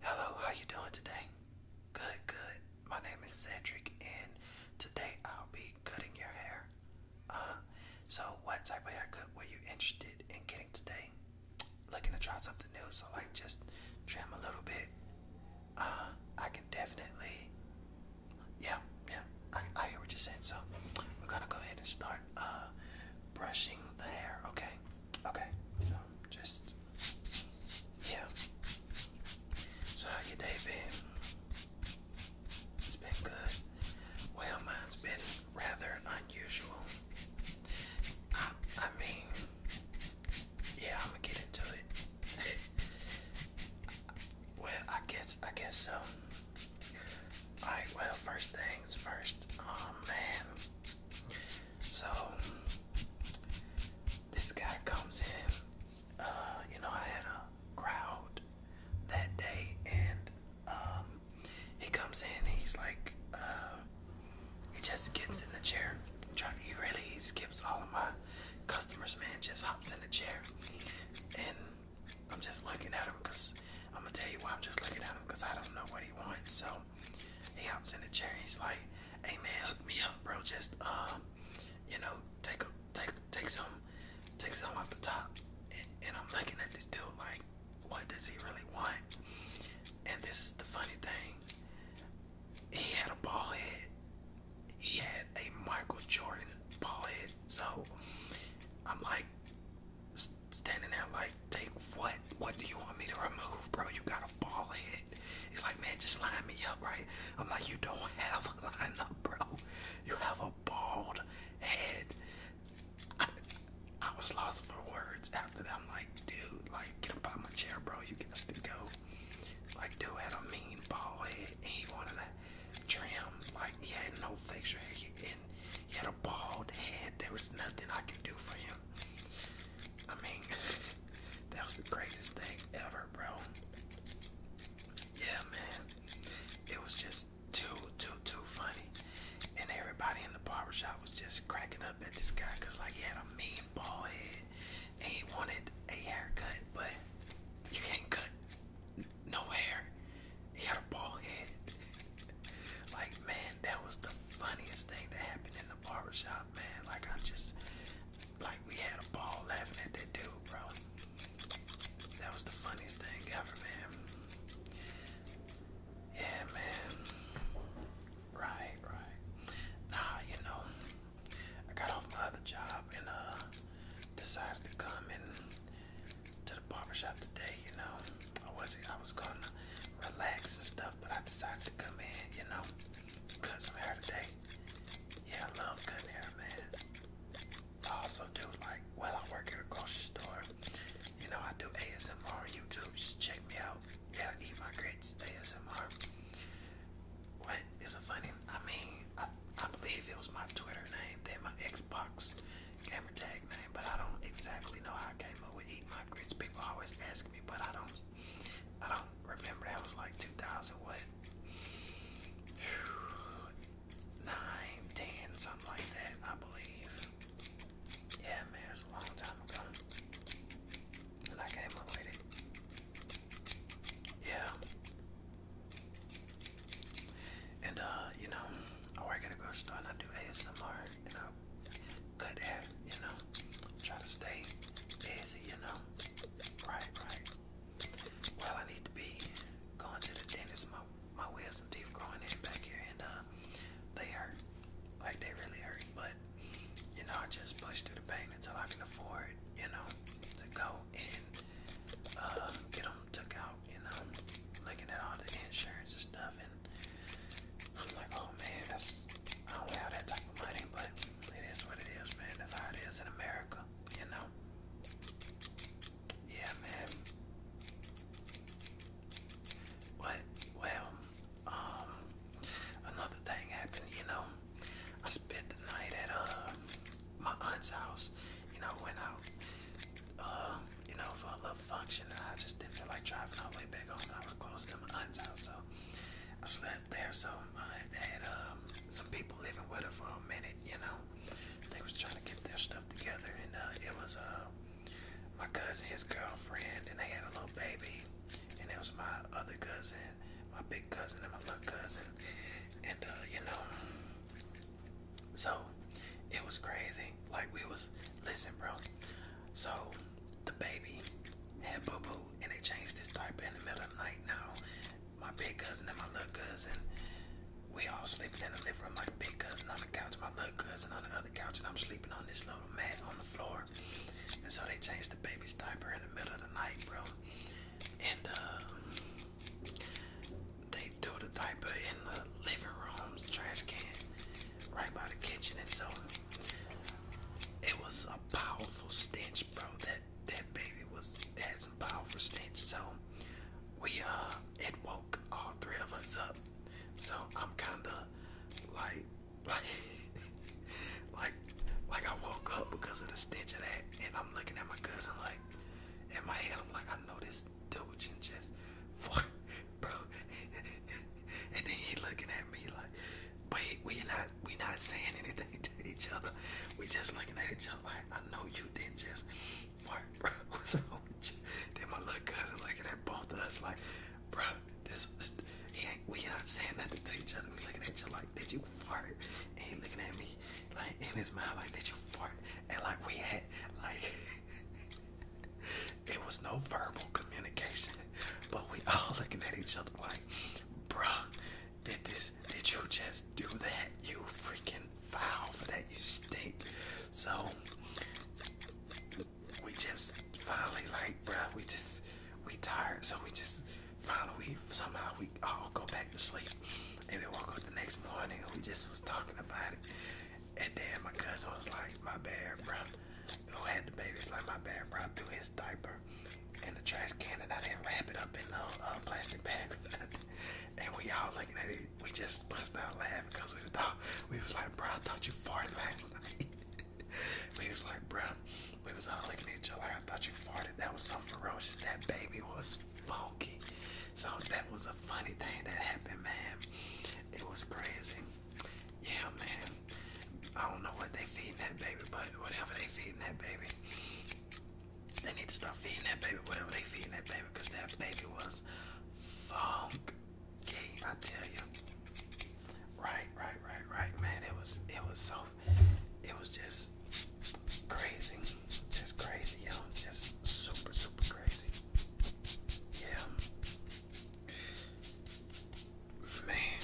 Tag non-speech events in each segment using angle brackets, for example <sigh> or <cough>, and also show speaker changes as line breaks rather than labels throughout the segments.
Hello, how you doing today? Good, good. My name is Cedric and today I'll be cutting your hair. Uh so what type of haircut were you interested in getting today? Looking to try something new, so like just trim a little bit. Uh I can definitely Yeah, yeah. I, hear what you're saying. So we're gonna go ahead and start uh brushing the hair, okay? Okay, so just yeah. So how your been? It's been good. Well, mine's been rather unusual. I, I mean, yeah, I'm gonna get into it. <laughs> well, I guess, I guess so. Um, All right. Well, first things first. Oh man, so this guy comes in. Uh, you know, I had a crowd that day, and um, he comes in. he's like, uh, he just gets in the chair. he really skips all of my customers, man. Just hops in the chair, and I'm just looking at him because I'm gonna tell you why I'm just looking at him because I don't know what he wants. So um, he hops in the chair. He's like, "Hey man, hook me up, bro. Just uh, you know, take a, take take some take some off the top." And, and I'm looking at this dude like, "What does he really want?" And this is the funny thing. He had a ball head. He had a Michael Jordan ball head. So I'm like standing there like, Take what? What do you want me to remove, bro? You got a ball head. He's like, man, just line me up, right? I'm like, you don't <laughs> have a line up, bro. You have a bald head. I, was lost for words after that. I'm like, dude, like, get up out my chair, bro. You got to go. Like, dude had a mean bald head, and he wanted to trim. Like, he had no facial hair, and he had a bald head. There was nothing I could do for him. I mean, <laughs> that was the craziest thing ever, bro. Yeah, man. It was just too, too, too funny. And everybody in the barbershop was just cracking up at this guy because, like, he had a mean bald head and he wanted a haircut, but you can't cut no hair. He had a bald head. <laughs> like, man, that was the funniest thing that happened in the barbershop, man. Like I just like we had a ball laughing at that dude, bro. That was the funniest thing ever, man. Yeah, man. Right, right. Nah, you know, I got off my other job and uh decided to come in to the barbershop today, you know. I wasn't, I was i was going to relax and stuff, but I decided to come in, you know, cut some hair today. Yeah, I love cutting hair, man. I also do like, while I work at a grocery store. You know, I do ASMR on YouTube. Just check me out. Yeah, eat my grits, ASMR. What is a funny? I mean, I, believe it was my Twitter name, then my Xbox gamer tag name, but I don't exactly know how I came up with eat my grits. People always ask but I don't I don't remember that was like 2000 what? Nine, ten, something like that, I believe. Yeah, man, it's a long time ago. And I came up with it. Yeah. And uh, you know, I work at a grocery store and I do ASMR you know, cut that, you know, try to stay busy, you know. Right, right. Well, I need to be going to the dentist. My my wisdom teeth growing in back here, and uh, they hurt, like they really hurt. But you know, I just push through the pain until I can afford, you know, to go and uh, get them took out. You know, looking at all the insurance and stuff. And I'm like, oh man, that's I don't have that type of money, but it is what it is, man. That's how it is in America, you know. Yeah, man. But well, um, another thing happened, you know. I spent the night at uh my aunt's house. You know, went out, uh, you know, for a little function, and I just didn't feel like driving all really big on that. we my aunt's house, so I slept there. So I had um, some people living with her for a minute, you know. They was trying to get their stuff together, and uh, it was uh, my cousin, his girlfriend, and they had a little baby. And it was my other cousin, my big cousin, and my little cousin. And, uh, you know, so it was crazy. Like, we was, listen, bro. So the baby had boo boo, and they changed his diaper in the middle of the night. Now, my big cousin and my little cousin, we all sleeping in the living room. My big cousin on the couch, my little cousin on the other couch, and I'm sleeping on this little mat on the floor. And so they changed the baby's diaper in the middle of the night, bro. And uh, they threw the diaper in the living room's trash can, right by the kitchen. And so it was a powerful stench, bro. That that baby was had some powerful stench. So we uh it woke all three of us up. So I'm kinda like <laughs> like like like I woke up because of the stench of that and I'm looking at my cousin like in my head I'm like I know this dude just <laughs> for bro. <laughs> and then he looking at me like, but we not we not saying anything to each other. We just looking at each other like, I know you didn't just fart, What's wrong with you? Then my little cousin looking at both of us like, bro, this we not saying nothing to each other. We looking at each other like, did you fart? And he looking at me like in his mouth like, did you fart? And like we had like. <laughs> it was no verbal communication, but we all looking at each other like, bruh, did this, did you just do that? You freaking foul for that, you stink. So, we just finally like, bruh, we just, we tired, so we just, finally we, somehow we all go back to sleep. And we woke up the next morning, we just was talking about it. And then my cousin was like, my bad, bruh who had the babies? like my bad bro, through his diaper in the trash can and I didn't wrap it up in no uh, plastic bag And we all looking at it, we just busted out laughing because we thought, we was like, bro, thought you farted last <laughs> night. we was like, bro, we was all looking at each other like, I thought you farted. That was so ferocious. That baby was funky. So that was a funny thing that happened, man. It was crazy. Yeah, man. I don't know what they feeding that baby, but whatever they feeding that baby, they need to stop feeding that baby whatever they feeding that baby, cause that baby was funk. I tell you. Right, right, right, right, man. It was, it was so, it was just crazy, just crazy, yo, just super, super crazy. Yeah. Man,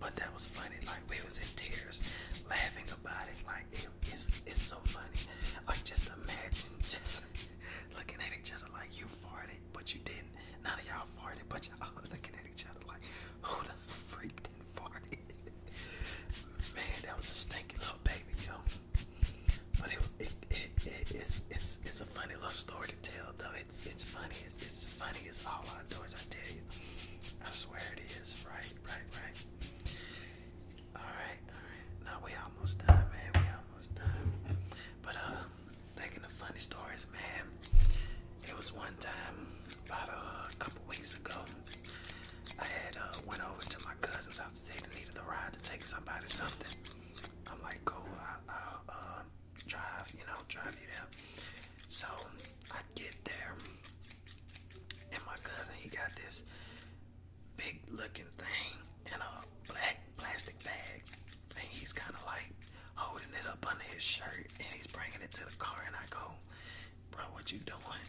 but that was funny. Like we was in tears, laughing about it. Like it's it's so funny. Like just imagine <laughs> just looking at each other like you farted, but you didn't. None of y'all farted, but y'all <laughs> looking at each other like who the freak did fart? <laughs> Man, that was a stinky little baby, yo. But it it, it, it's, it's, it's a funny little story to tell, though. It's, it's funny. It's, it's funny. It's all outdoors, I tell you. I swear it is. Right, right, right. All right, all right. Now we almost done, man. We almost done. But uh, thinking of funny stories, man. It was one time about uh, a couple weeks ago. I had uh, went over to my cousin's house to say they needed a ride to take somebody something. I'm like, cool. uh, drive, you know, drive you down. So I get there, and my cousin he got this big looking thing in a black plastic bag, and he's kind of like holding it up under his shirt, and he's bringing it to the car, and I go, bro, what you doing?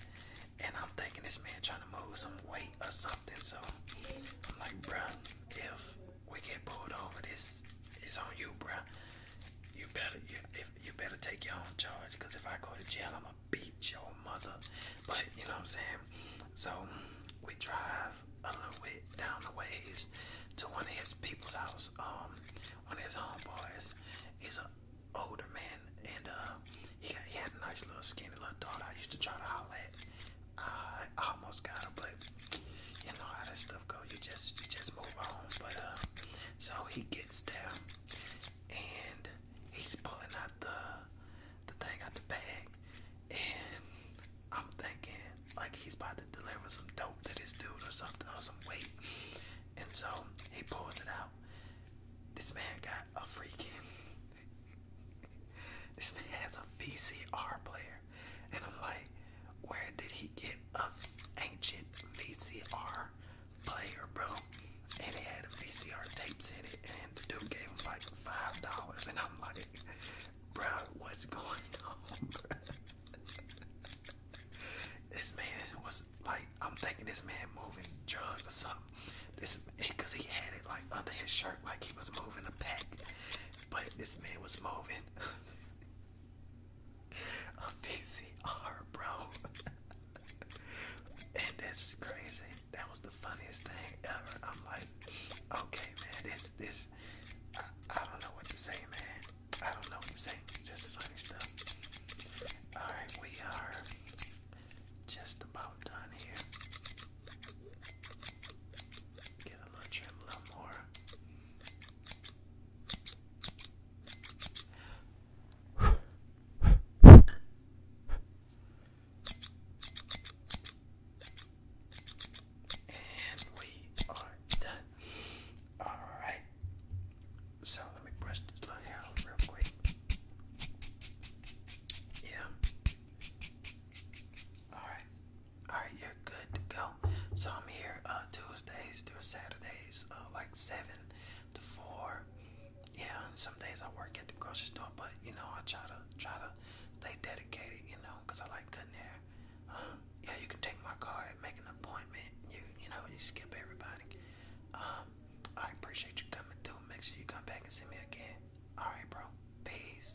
And I'm thinking this man trying to move some weight or something, so I'm like, bro, if we get pulled over, this is on you, bro. You better you you better take your own charge, cause if I go to jail, I'ma beat your mother. But you know what I'm saying. So we drive a down the ways to one of his people's house. Um, one of his homeboys. He's an older man, and uh, he, he had a nice little skinny little daughter. I used to try to holler at I almost got him, but you know how that stuff goes. You just you just move on. But uh, so he gets there, and he's pulling out the the thing out the bag, and I'm thinking like he's about to deliver some dope to this dude or something or some weight. And so he pulls it out. This man got a freaking <laughs> this man has a VCR player. And I'm like, where did he get a ancient VCR player, bro? And it had VCR tapes in it. And the dude gave him like $5. And I'm like, bro, what's going <laughs> on, this man was like, I'm thinking this man moving drugs or something. This because he had it like under his shirt like he was moving a pack, but this man was moving <laughs> a PCR, bro. <laughs> and that's crazy. That was the funniest thing ever. I'm like, okay, man, this, this, I don't know what to say, man. I don't know what to say. Just funny stuff. Alright, we are just about done here. Get a little trim, a little more. And we are done. Alright. So let me brush this little hair off real quick. Yeah. Alright all right, you're good to go. So I'm here uh, Tuesdays through Saturdays, uh, like seven to four. Yeah, some days I work at the grocery store, but you know I try to try to stay dedicated, you know, I like cutting hair. Um, yeah, you can take my card, make an appointment. You you know you skip everybody. Um, I appreciate you coming through. Make sure you come back and see me again. All right, bro. Peace.